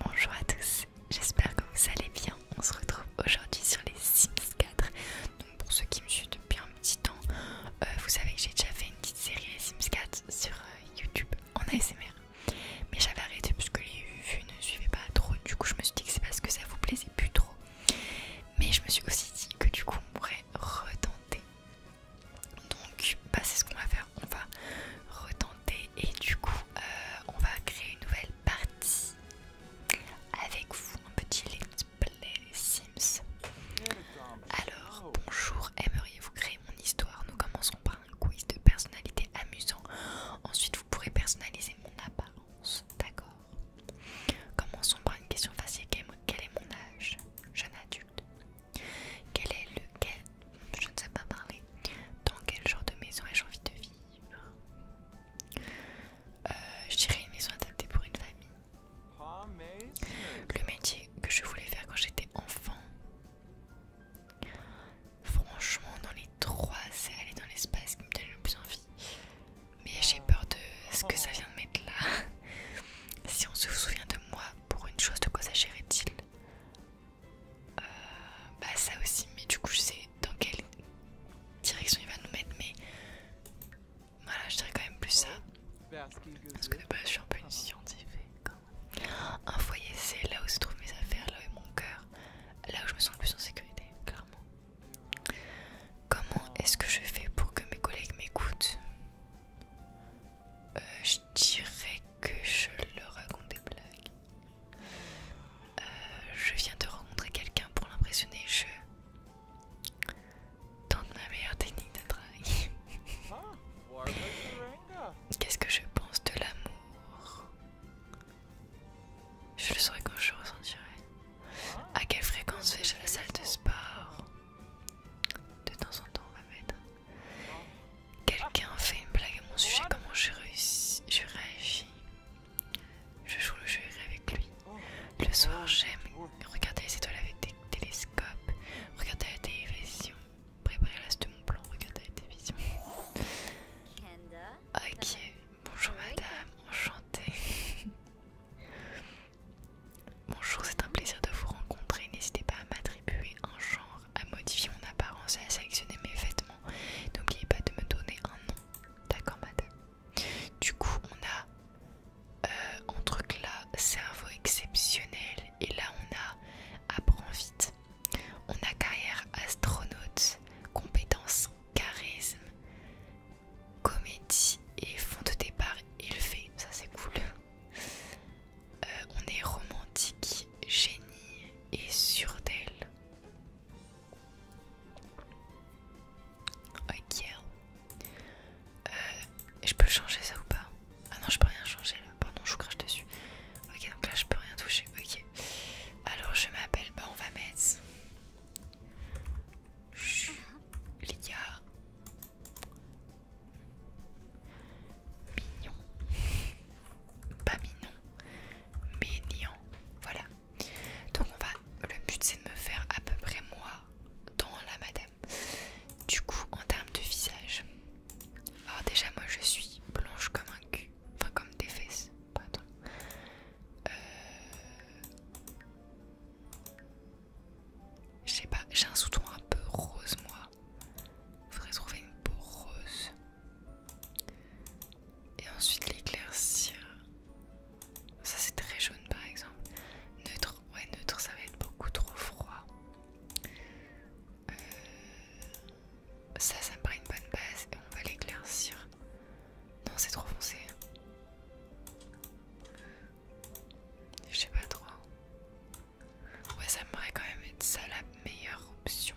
Bonjour à tous, j'espère que vous allez bien. On se retrouve aujourd'hui sur les Sims 4. Donc pour ceux qui me suivent depuis un petit temps, euh, vous savez que j'ai déjà fait une petite série Sims 4 sur euh, YouTube en ASMR. Mais j'avais arrêté parce que les vues ne suivaient pas trop. Du coup, je me suis dit que c'est parce que ça vous plaisait plus trop. Mais je me suis aussi dit que du coup, on pourrait retenter donc bah, c'est ce qu'on va faire on va retenter et du coup euh, on va créer une nouvelle partie avec vous un petit let's play sims alors bonjour aimeriez-vous créer mon histoire nous commençons par un quiz de personnalité amusant ensuite vous pourrez personnaliser mon apparence d'accord Commençons par une question facile. Quel est mon âge Jeune adulte. Quel est le Je ne sais pas parler. Dans quel genre de maison ai-je envie de vivre euh, Je dirais une maison adaptée pour une famille. Le métier que je voulais faire quand j'étais enfant. Franchement, dans les trois, c'est aller dans l'espace qui me donne le plus envie. Mais j'ai peur de ce que ça vient de mettre là. Si on se souvient de moi, pour une chose, de quoi s'agirait-il euh, Bah ça aussi, mais du coup je sais dans quelle direction il va nous mettre, mais voilà, je dirais quand même plus ça. Parce que de base je suis un peu une scientifique. Un foyer, c'est là où se trouvent mes affaires, là où est mon cœur, là où je me sens le plus en sécurité, clairement. Comment est-ce que je fais pour que mes collègues m'écoutent euh, je dirais que je leur raconte des blagues. Euh, je viens de rencontrer quelqu'un pour l'impressionner, je tente ma meilleure technique de travail. Ah, Qu'est-ce que je pense de l'amour Je le saurai quand je ressentirai. Ah, à quelle fréquence vais-je à la salle de sport de temps en temps, Quelqu'un fait une blague à mon sujet, comment je, réussis, je réagis. Je joue le jeu avec lui. Le soir, j'aime regarder les étoiles avec des télescopes, regarder la télévision, préparer la de mon plan, regarder la télévision. Ok, bonjour madame, enchantée. Bonjour, c'est un plaisir de vous rencontrer. N'hésitez pas à m'attribuer un genre, à modifier mon apparence à sélectionner mes vêtements. N'oubliez pas de me donner un nom. D'accord, madame. Du coup, on a euh, un truc là, cerveau exceptionnel. Et là, on a apprends vite. On a carrière astronaute, compétence charisme, comédie et fond de départ élevé, ça c'est cool. Euh, on est romantique, génie et sûr d'elle. Ok. Euh, je peux changer ça ou pas Ah non, je peux rien changer là. Pardon, je crache dessus. Ok, donc là je peux rien toucher. Ok. Alors je m'appelle. Bah on va mettre. les gars. Mignon. Pas mignon. Mignon. Voilà. Donc on va. Le but c'est de me faire à peu près moi dans la madame. Du coup, en termes de visage. Alors déjà moi je suis blanche comme un cul. Enfin comme des fesses. Pardon. Euh, je sais pas, j'ai un sous-ton un peu rose moi. Faudrait trouver une peau rose. Et ensuite l'éclaircir. Ça c'est très jaune par exemple. Neutre, ouais neutre ça va être beaucoup trop froid. Euh, ça, ça me paraît une bonne base et on va l'éclaircir. Non c'est trop foncé. J'ai sais pas trop. Ouais, ça me paraît quand même être ça la meilleure option.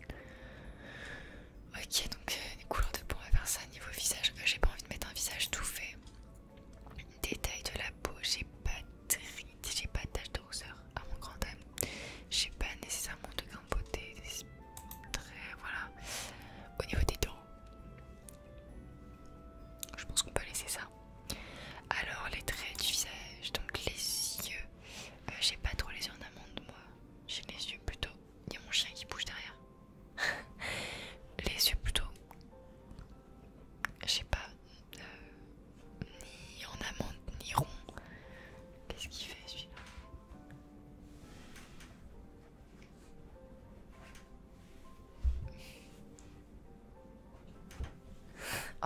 Ok, donc euh, les couleurs de peau, on va faire ça niveau visage. Euh, j'ai pas envie de mettre un visage tout fait. Détail de la peau, j'ai pas de j'ai pas de taches à mon grand âme. J'ai pas nécessairement de grain voilà. Au niveau des dents, je pense qu'on peut laisser ça. Alors les traits du visage, donc les yeux. Euh, j'ai pas trop les yeux en amande moi. J'ai les yeux plutôt. Il y a mon chien qui bouge derrière. les yeux plutôt. j'ai pas. Euh, ni en amande ni rond. Qu'est-ce qu'il fait celui-là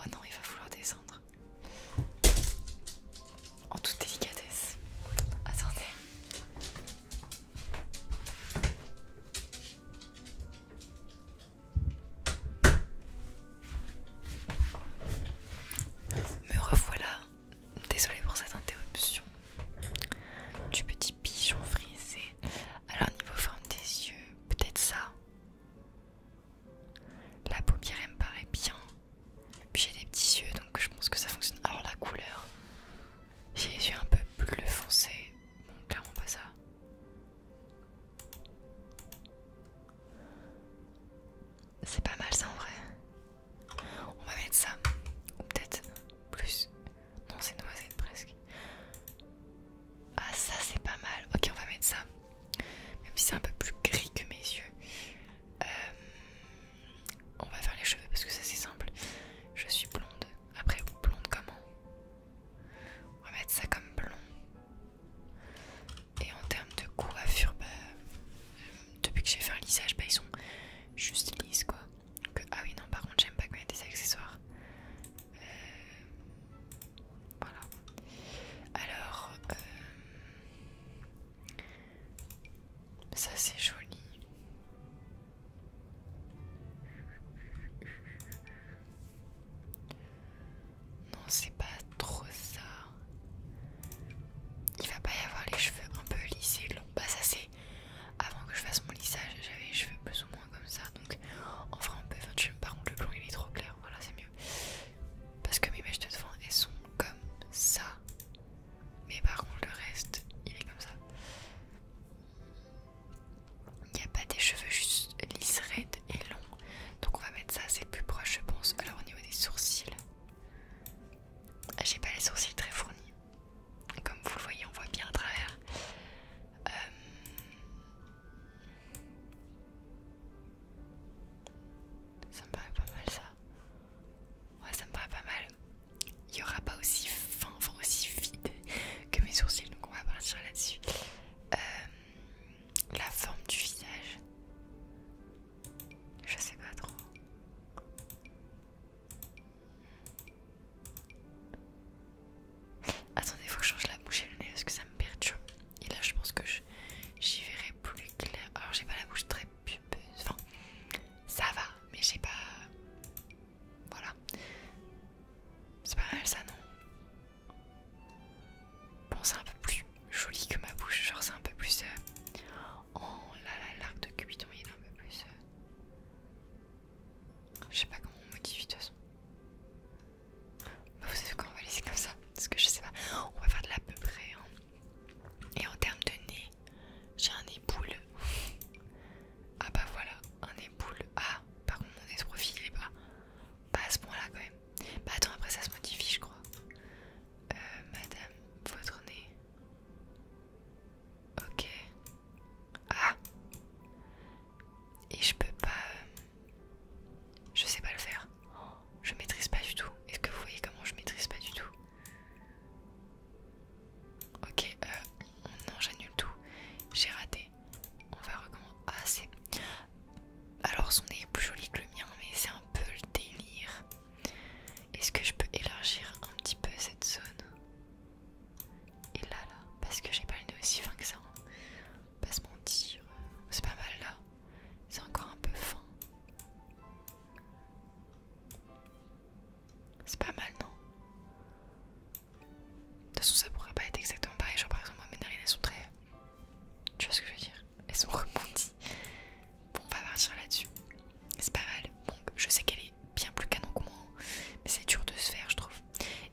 Oh non, il va falloir descendre. En toute délicatesse. Attendez. Me revoilà. Désolée pour cette interruption du petit pigeon frisé. Alors niveau forme des yeux, peut-être ça. La paupière me paraît bien. Puis j'ai des petits yeux donc je pense que ça fonctionne. Alors la couleur, j'ai les yeux un peu bleu foncé. Bon clairement pas ça. C'est pas mal ça en vrai. On va mettre ça. Ou peut-être plus. Non, c'est noisette presque. Ah, ça c'est pas mal. Ok, on va mettre ça. Même si c'est un peu plus gris que mes yeux. Euh, on va faire les cheveux parce que ça c'est simple. Je suis blonde. Après, blonde comment On va mettre ça comme blond. Et en termes de coiffure, bah, euh, depuis que j'ai fait un lissage, bah, ils sont juste lisses quoi. Ah oui non par contre j'aime pas quand y a des accessoires. Euh, voilà. Alors... Euh, ça c'est joli. Non c'est pas trop ça. Il va pas y avoir les cheveux un peu lissés, longs. Bah ça c'est avant que je fasse mon lissage, j'avais les cheveux plus ou moins comme ça. Donc enfin un on peut faire Par contre, le blond il est trop clair. Voilà, c'est mieux. Parce que mes mèches de devant elles sont comme ça. Mais par contre, le reste il est comme ça. Il n'y a pas des cheveux juste lisses, raides et longs. Donc on va mettre ça, c'est plus proche, je pense. Alors au niveau des sourcils, j'ai pas les sourcils très fournis. Comme vous le voyez, on voit bien à travers. Euh, ça me paraît pas mal ça. Ouais, ça me paraît pas mal. Il n'y aura pas aussi fin, enfin aussi vide que mes sourcils, donc on va partir là-dessus. Euh, la forme du visage. Je sais pas trop. Attendez, faut que je change la bouche et le nez parce que ça me perturbe. Et là, je pense que j'y verrai plus clair. Alors, j'ai pas la bouche très pupeuse Enfin, ça va, mais j'ai pas. Voilà. C'est pas mal ça, non Bon, c'est un peu plus joli que ma bouche. Genre, c'est un peu plus. Euh, oh là là, l'arc de Cupidon, il est un peu plus. Euh, je sais pas comment on modifie de toute façon. vous savez quoi, on va laisser comme ça. Parce que je sais pas. On va faire de l'à peu près. Hein. Et en termes de nez, j'ai un nez ah bah voilà, un nez boule. Ah, par contre mon nez profil pas, à ce point là quand même. Bah attends, après ça se modifie je crois. Euh, madame, votre nez. Ok. Ah Et je peux pas... Euh, je sais pas le faire. Je maîtrise pas du tout. Est-ce que vous voyez comment je maîtrise pas du tout Ok, euh, non j'annule tout. J'ai raté. On va recommencer. Ah c'est... Alors son nez est plus joli que le mien mais c'est un peu le délire. Est-ce que je peux élargir un petit peu cette zone et là, là, parce que j'ai pas le nez aussi fin que ça. Pas se mentir, c'est pas mal là. C'est encore un peu fin. C'est pas mal, non De toute façon, ça pourrait pas être exactement pareil. Genre, par exemple, mes narines elles sont très. Tu vois ce que je veux dire Elles sont rebondies. Bon, on va partir là-dessus. C'est pas mal. Bon, je sais qu'elle est bien plus canon que moi, mais c'est dur de se faire, je trouve.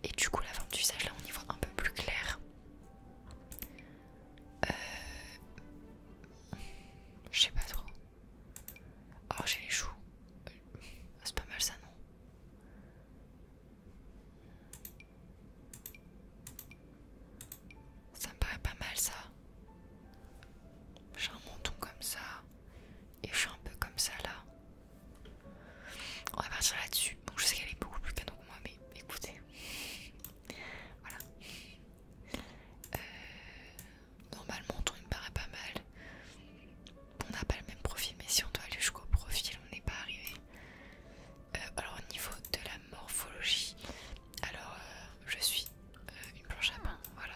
Et du coup, la forme du visage, là, on y voit un peu plus clair. Euh, je sais pas trop. or oh, j'ai les joues. C'est pas mal ça, non? Ça me paraît pas mal ça. J'ai un menton comme ça. Et je suis un peu comme ça là. On va partir là-dessus. Bon, je sais qu'elle est beaucoup plus canon que moi, mais écoutez. voilà. Euh, normalement, on me paraît pas mal. On n'a pas le même profil, mais si on doit aller jusqu'au profil, on n'est pas arrivé. Euh, alors, au niveau de la morphologie, alors euh, je suis euh, une planche à pain, voilà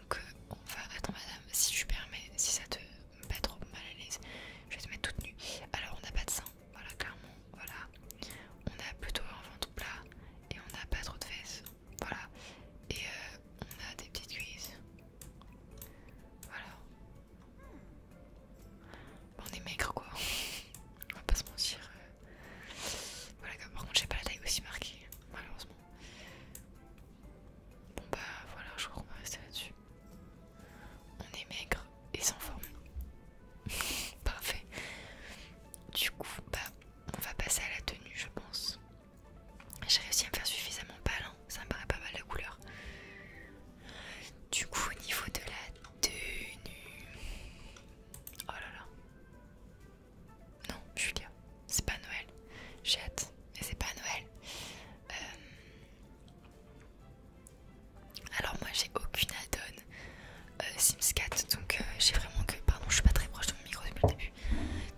donc on va... Attends madame, si je permets, si ça te met pas trop mal à l'aise, je vais te mettre toute nue. Alors on n'a pas de sein, voilà clairement, voilà. On a plutôt un ventre plat et on n'a pas trop de fesses, voilà. Et euh, on a des petites cuisses, voilà. on est maigre quoi, on va pas se mentir. Euh. Voilà, par contre j'ai pas la taille aussi marquée, malheureusement. Bon bah voilà, je crois qu'on va rester là-dessus. On est maigre et sans forme. Parfait. Du coup, bah on va passer à la tenue, je pense. J'ai réussi à me faire suffisamment pâle, hein. ça me paraît pas mal la couleur. Du coup, au niveau de la tenue. Oh là là. Non, Julia, c'est pas Noël. J'ai hâte, mais c'est pas Noël. Euh, alors moi j'ai aucune add-on euh, Sims 4, donc euh, j'ai vraiment que... Pardon, je suis pas très proche de mon micro depuis le début.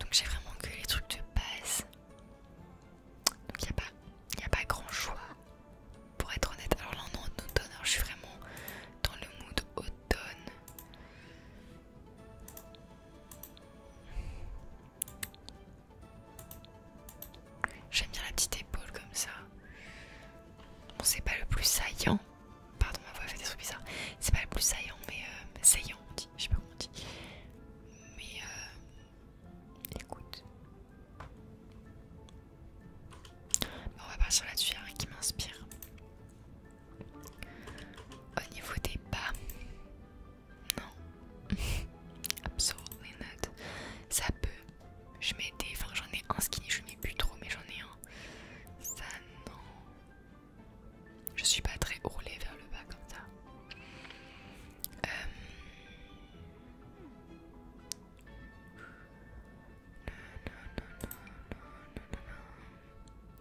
Donc j'ai vraiment que les trucs de base. Donc il n'y a, pas... a pas grand choix, pour être honnête. Alors là on en automne, alors je suis vraiment dans le mood automne. J'aime bien la petite épaule comme ça. Bon, c'est pas le plus saillant. Pardon, ma voix fait des trucs bizarres. C'est pas le plus saillant, mais euh, saillant, on dit. Je sais pas comment on dit. Mais euh, écoute. Bon, on va passer là-dessus, hein, qui m'inspire. Au niveau des pas, non, absolument not. Ça peut. Je mets des. Enfin, j'en ai un skinny, je mets plus trop, mais j'en ai un. Ça, non. Je suis pas très roulée vers le bas comme ça.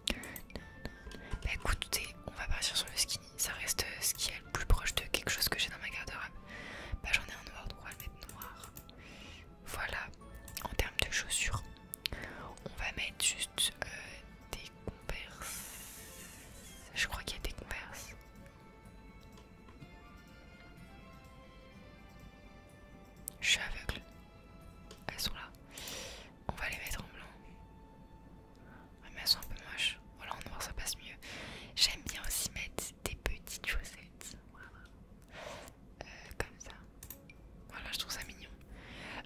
Bah écoutez, on va partir sur le skinny. Ça reste euh, ce qui est le plus proche de quelque chose que j'ai dans ma garde-robe. Bah j'en ai un noir, donc on va le mettre noir. Voilà, en termes de chaussures, on va mettre juste euh, des Converse. Je crois qu'il y a des Converse. Je suis aveugle. Elles sont là. On va les mettre en blanc. mais elles sont un peu moches. Voilà, oh, en noir ça passe mieux. J'aime bien aussi mettre des petites chaussettes. Voilà. Euh, comme ça. Voilà, je trouve ça mignon.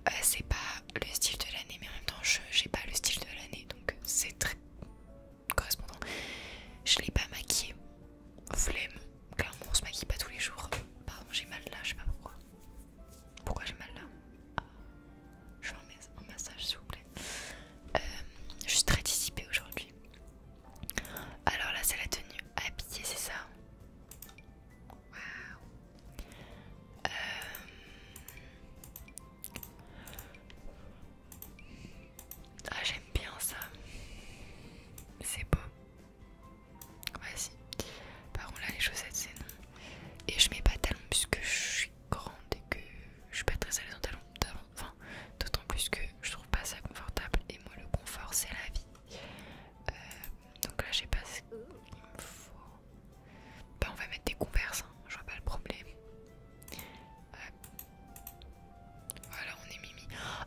Euh, c'est pas le style de l'année, mais en même temps, je j'ai pas le style de l'année, donc c'est très correspondant. Je l'ai pas maquillé. Flemme. Clairement, on se maquille pas tous les jours. Pardon, j'ai mal là, je sais pas pourquoi. Pourquoi j'ai mal là ah. Je vais en massage s'il vous plaît. Euh, je suis très dissipée aujourd'hui. Alors là c'est la tenue habillée, c'est ça Waouh euh, Ah j'aime bien ça. C'est beau voici si. Par contre, là, les chaussettes, c'est non. Et je mets pas de talons puisque je suis grande et que je suis pas très à dans en talons. d'autant plus que je trouve pas ça confortable. Et moi, le confort, c'est la vie. Euh, donc là, je sais pas ce qu'il me faut. Bah, on va mettre des converses, hein. je vois pas le problème. Euh, voilà, on est mimi.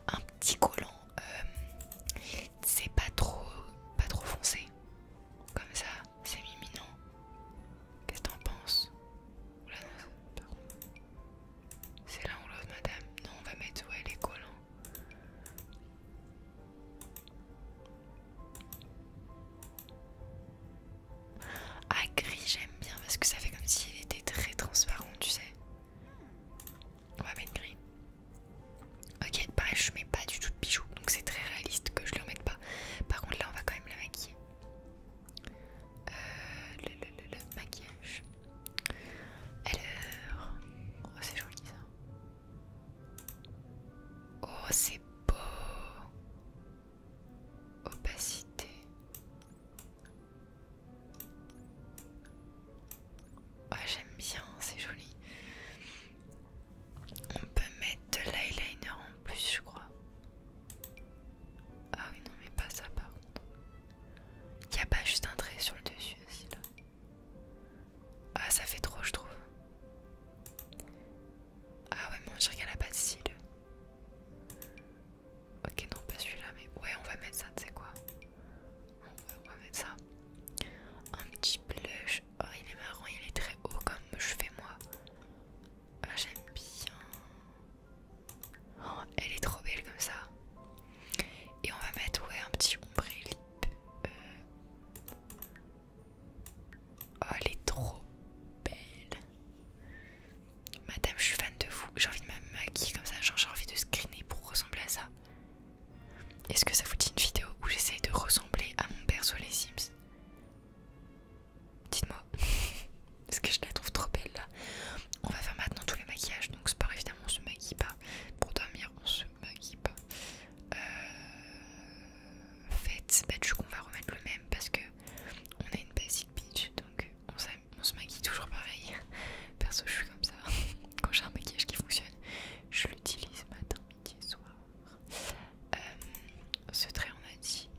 Un petit collant, euh, c'est pas trop, pas trop foncé. Comme ça, c'est imminent. Qu'est-ce que t'en penses c'est l'un ou l'autre, madame. Non, on va mettre ouais les collants. Ah, gris, j'aime bien parce que ça fait comme si s'il était très transparent, tu sais. On va mettre gris. Ok, pareil, je mets pas du tout de bijoux, donc c'est très réaliste que je le remette pas. Par contre, là, on va quand même la maquiller. Euh, le, maquillage. Alors, oh, c'est joli ça. Oh, c'est beau. Opacité. Ouais, oh, j'aime bien, c'est joli. On peut mettre de l'eyeliner en plus, je crois. Ah oui, non, mais pas ça par contre. Il a pas juste un trait sur le dessus aussi là. Ah, ça fait trop, je trouve. Ah ouais, mais on dirait qu'elle a pas de cils. Ok, non, pas celui-là, mais ouais, on va mettre ça, tu sais quoi on va mettre ça. Un petit blush. Oh, il est marron, il est très haut comme je fais moi. Ah, j'aime bien. Oh, elle est trop belle comme ça. Et on va mettre ouais, un petit ombre euh. Oh, elle est trop belle. Madame, je suis fan de vous. J'ai envie de me maquiller comme ça. j'ai envie de screener pour ressembler à ça. Est-ce que ça vous dit une vidéo où j'essaye de ressembler à mon père sur les Sims Dites-moi. Est-ce que je la trouve trop belle là. On va faire maintenant tous les maquillages. Donc c'est pas évidemment, on se maquille pas. Pour dormir, on se maquille pas. Euh, faites, bah, du coup, va remettre le même parce que on a une basic bitch, Donc on, se maquille toujours pareil. Perso, je suis comme ça. Quand j'ai un maquillage qui fonctionne, je l'utilise matin, euh, ce trait, on a dit,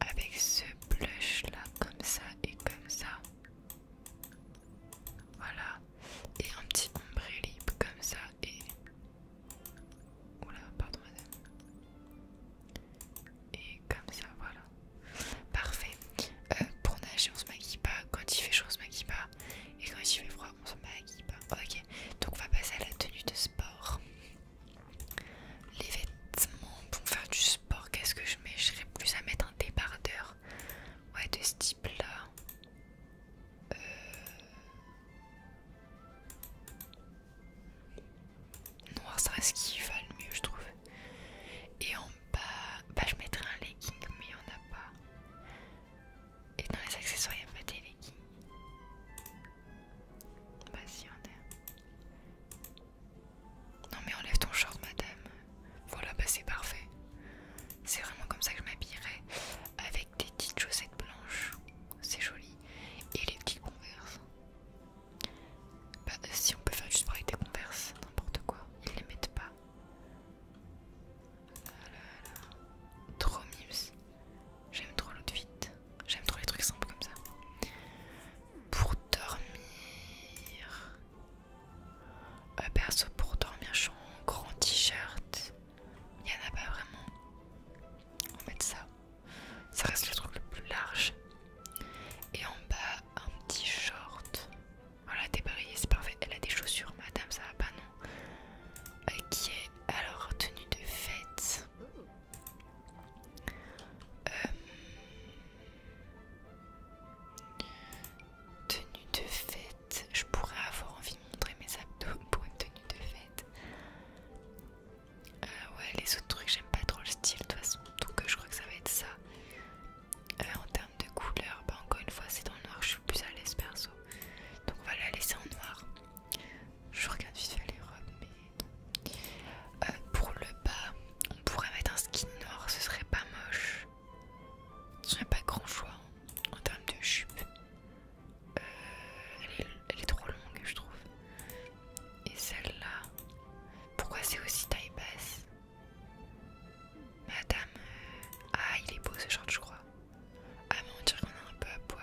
avec ce blush là, comme ça et comme ça. Voilà. Et un petit ombre comme ça et. Oula, pardon madame. Et comme ça, voilà. Parfait. Euh, pour nager, on se maquille pas. Quand il fait chaud, on se maquille pas. Et quand il fait froid, on se maquille pas. Ben, ok, donc on va passer à la tenue de sport. Les vêtements pour faire du sport, qu'est-ce que je mets Je serais plus à mettre un débardeur. Ouais, de ce type-là. Euh, noir, ça reste ce qui va le mieux, je trouve. Et en bas, bah, je mettrais un legging, mais il n'y en a pas. Et dans les accessoires, il n'y a pas des leggings. Bah on a. Non mais enlève ton short, madame. Voilà, bah c'est parfait. C'est vraiment comme ça que je m'habillerai. Avec des petites chaussettes blanches. C'est joli. Et les petites converses. Bah si on peut faire juste avec des converses, n'importe quoi. Ils les mettent pas. Trop mimes. J'aime trop vite. J'aime trop les trucs simples comme ça. Pour dormir. Euh, perso, pour dormir, je suis en grand t-shirt. Il n'y en a pas vraiment. On va mettre ça. Ça reste le truc le plus large. Et en bas, un petit short. Voilà, débrayé, c'est parfait. Elle a des chaussures, madame, ça va pas, non Ok, alors tenue de fête. Euh, tenue de fête. Je pourrais avoir envie de montrer mes abdos pour une tenue de fête. Euh, ouais, les autres trucs, j'aime pas trop le style de toute façon. Donc euh, je crois que ça va être ça. en termes de couleur, bah, encore une fois, c'est dans le noir, je suis plus à l'aise perso. Donc on va la laisser en noir. Je regarde vite fait les robes, mais euh, pour le bas, on pourrait mettre un skin noir, ce serait pas moche. ce serait pas grand choix hein, en termes de jupe. Euh, elle, est, elle est trop longue, je trouve. Et celle-là, pourquoi c'est aussi taille basse Madame. Euh, ah, il est beau ce short, je crois. Ah, mais on dirait qu'on est un peu à poil.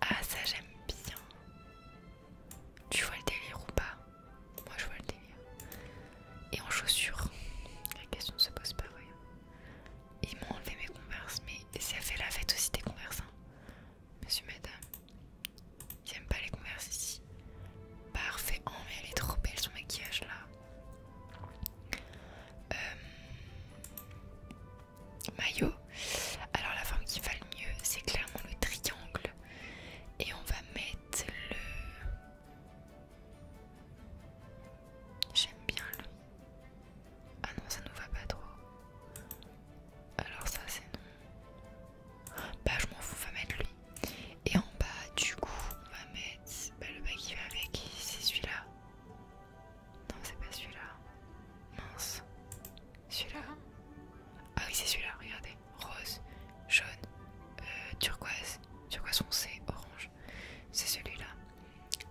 Ah, ça j'aime bien. Tu vois le délire ou pas Moi je vois le délire. Et en chaussures La question ne se pose pas, voyez. Ils m'ont enlevé mes converses, mais ça fait la fête aussi des converses. Hein. Monsieur, madame, j'aime pas les converses ici. Parfait, oh mais elle est trop belle son maquillage là. Euh, maillot. Alors la forme qui va le mieux, c'est clairement le triangle. Et on va mettre le... J'aime bien lui. Ah non, ça nous va pas trop. Alors ça c'est non. Bah je m'en fous, on va mettre lui. Et en bas, du coup, on va mettre bah, le bas qui va avec. C'est celui-là. Non, c'est pas celui-là. Mince. Celui-là. Ah oui, c'est celui-là. Regardez. Rose, jaune, euh, turquoise. Turquoise foncé, orange. C'est celui-là.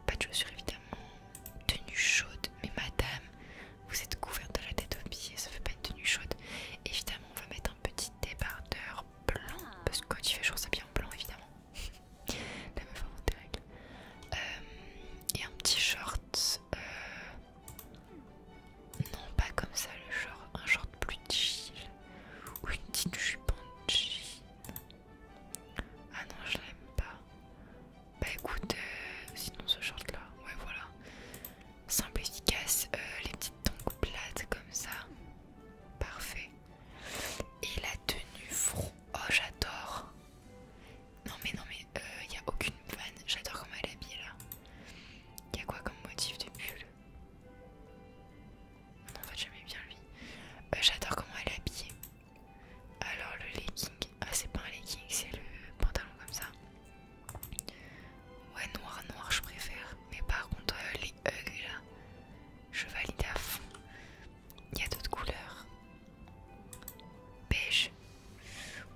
Pas de chaussures, évidemment. Tenue chaude. Mais madame, vous êtes couverte de la tête aux pieds. Ça fait pas une tenue chaude. Évidemment, on va mettre un petit débardeur blanc. Parce que quand il fait jour, bien en blanc, évidemment. La meuf des règles. Euh, et un petit short. Euh, non, pas comme ça le short. Un short plus chill. Ou une petite jupe en Ah non, je l'aime pas. Bah écoute, euh, sinon ce short là, ouais voilà. Simple, efficace. les petites tongs plates comme ça. Parfait. Et la tenue froide oh j'adore. Non mais non mais il euh, n'y a aucune vanne, j'adore comment elle est habillée là. Il y a quoi comme motif de bulle On en fait jamais bien lui. Euh, j'adore comment elle est habillée. Alors le legging, ah c'est pas un legging, c'est le pantalon comme ça. Ouais noir noir je préfère. Mais par contre euh, je valide à fond. Il y a d'autres couleurs. Beige.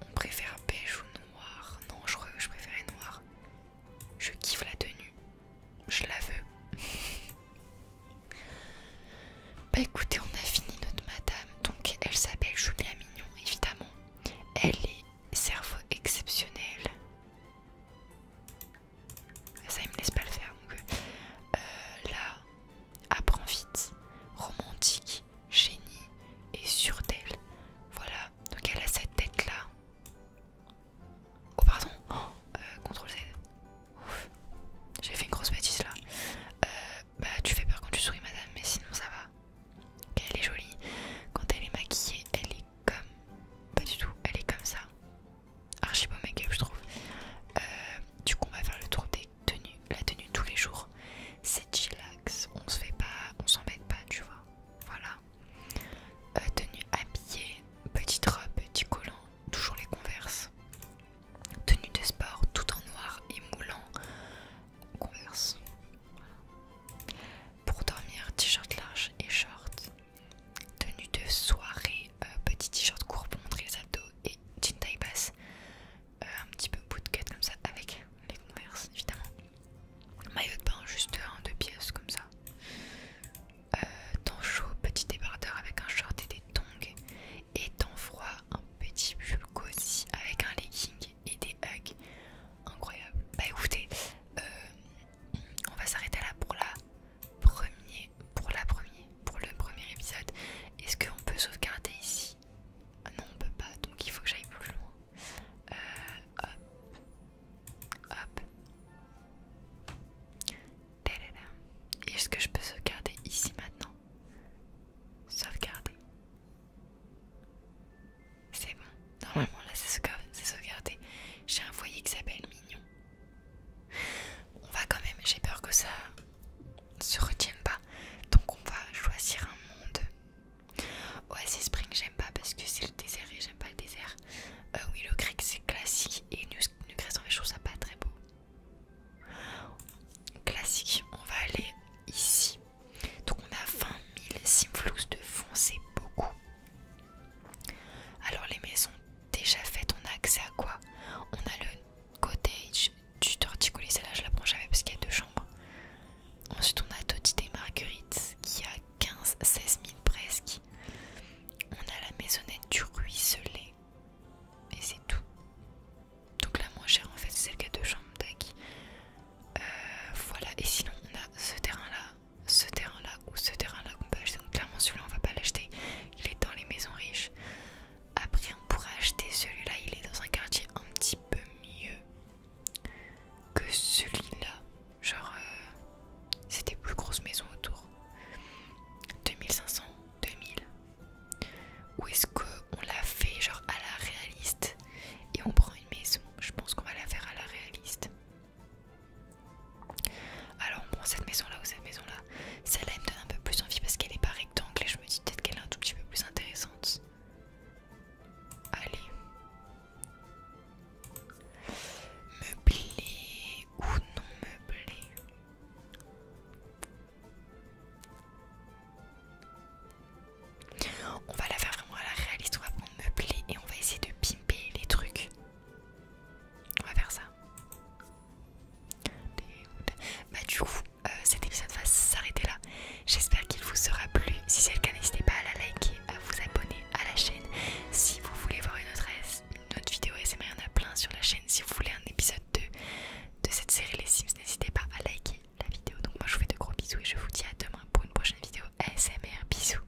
On préfère beige ou noir. Non, je je préférais noir. Je kiffe la tenue. Je la veux. bah écoutez, on a fini notre madame. Donc elle s'appelle Julia Mignon, évidemment. Elle est cerveau exceptionnel ça il me laisse pas le faire donc euh, là apprends vite romantique génie et sûre voilà donc elle a cette tête là oh pardon oh, euh, contrôle Z ouf j'ai fait une grosse bêtise là euh, bah tu fais peur quand tu souris madame mais sinon ça va elle est jolie quand elle est maquillée elle est comme pas du tout elle est comme ça archi makeup, make je trouve. Euh, du coup on va faire le tour des tenues, la tenue tous les jours. C'est chillax, on se fait pas, on s'embête pas tu vois. Voilà. Euh, tenue habillée, petite robe, petit collant, toujours les converses. Tenue de sport, tout en noir et moulant, converse. Pour dormir, t-shirt large et short tenue de soirée, euh, petit t-shirt court pour et jean taille basse, euh, un petit peu bootcut comme ça avec les converses évidemment, maillot de bain juste un deux pièces comme ça, euh, temps chaud, petit débardeur avec un short et des tongs, et temps froid, un petit pull aussi avec un legging et des hugs, incroyable. Bah écoutez, on va s'arrêter là pour la premier, pour la première, pour le premier épisode. Est-ce qu'on peut sauvegarder ici ah Non, on peut pas. Donc il faut que j'aille plus loin. Euh, hop, hop. Est-ce que je peux sauvegarder ici maintenant Sauvegarder. C'est bon, normalement là c'est sauvegardé. J'ai un foyer qui s'appelle Mignon. On va quand même, j'ai peur que ça se retienne pas. Donc on va choisir un monde. Oasis Spring j'aime pas parce que c'est le désert et j'aime pas le désert. Euh, oui le grec c'est classique et en fait je trouve ça pas très beau. Classique, on va aller ici. Donc on a 20 000 simflous de fond, c'est beaucoup. Alors les maisons déjà faites, on a accès à quoi On a le cottage du torticolis, celle-là je la prends jamais parce qu'il y a deux chambres. Ensuite on a Totite et Marguerite qui a 15-16 000 presque. On a la maisonnette du ruisselé et c'est tout. Donc la moins chère en fait c'est celle qui a deux chambres, euh, voilà, et sinon on a ce terrain là ce terrain là ou ce terrain là qu'on peut acheter. Donc clairement celui-là on va pas l'acheter, il est dans les maisons riches. Après on pourrait acheter celui-là, il est dans un quartier un petit peu mieux que celui-là. Genre euh, c'était plus grosse maison autour. 2500, 2000. Ou est-ce qu'on la fait genre à la réaliste et on prend une maison Je pense qu'on va la faire à la réaliste. Alors prend cette maison là ou cette maison là, celle-là elle me donne un peu plus envie parce qu'elle est pas rectangle et je me dis peut-être qu'elle est un tout petit peu plus intéressante. Allez. Meublé ou non meublé on va la faire vraiment à la réaliste, on va prendre et on va essayer de pimper les trucs. On va faire ça. Bah du coup, euh, cet épisode va s'arrêter là. J'espère qu'il vous aura plu. Si c'est le cas, n'hésitez pas à la liker, à vous abonner à la chaîne. Si vous voulez voir une autre, vidéo SMR, il y en a plein sur la chaîne. Si vous voulez un épisode 2 de cette série Les Sims, n'hésitez pas à liker la vidéo. Donc moi je vous fais de gros bisous et je vous dis à demain pour une prochaine vidéo SMR Bisous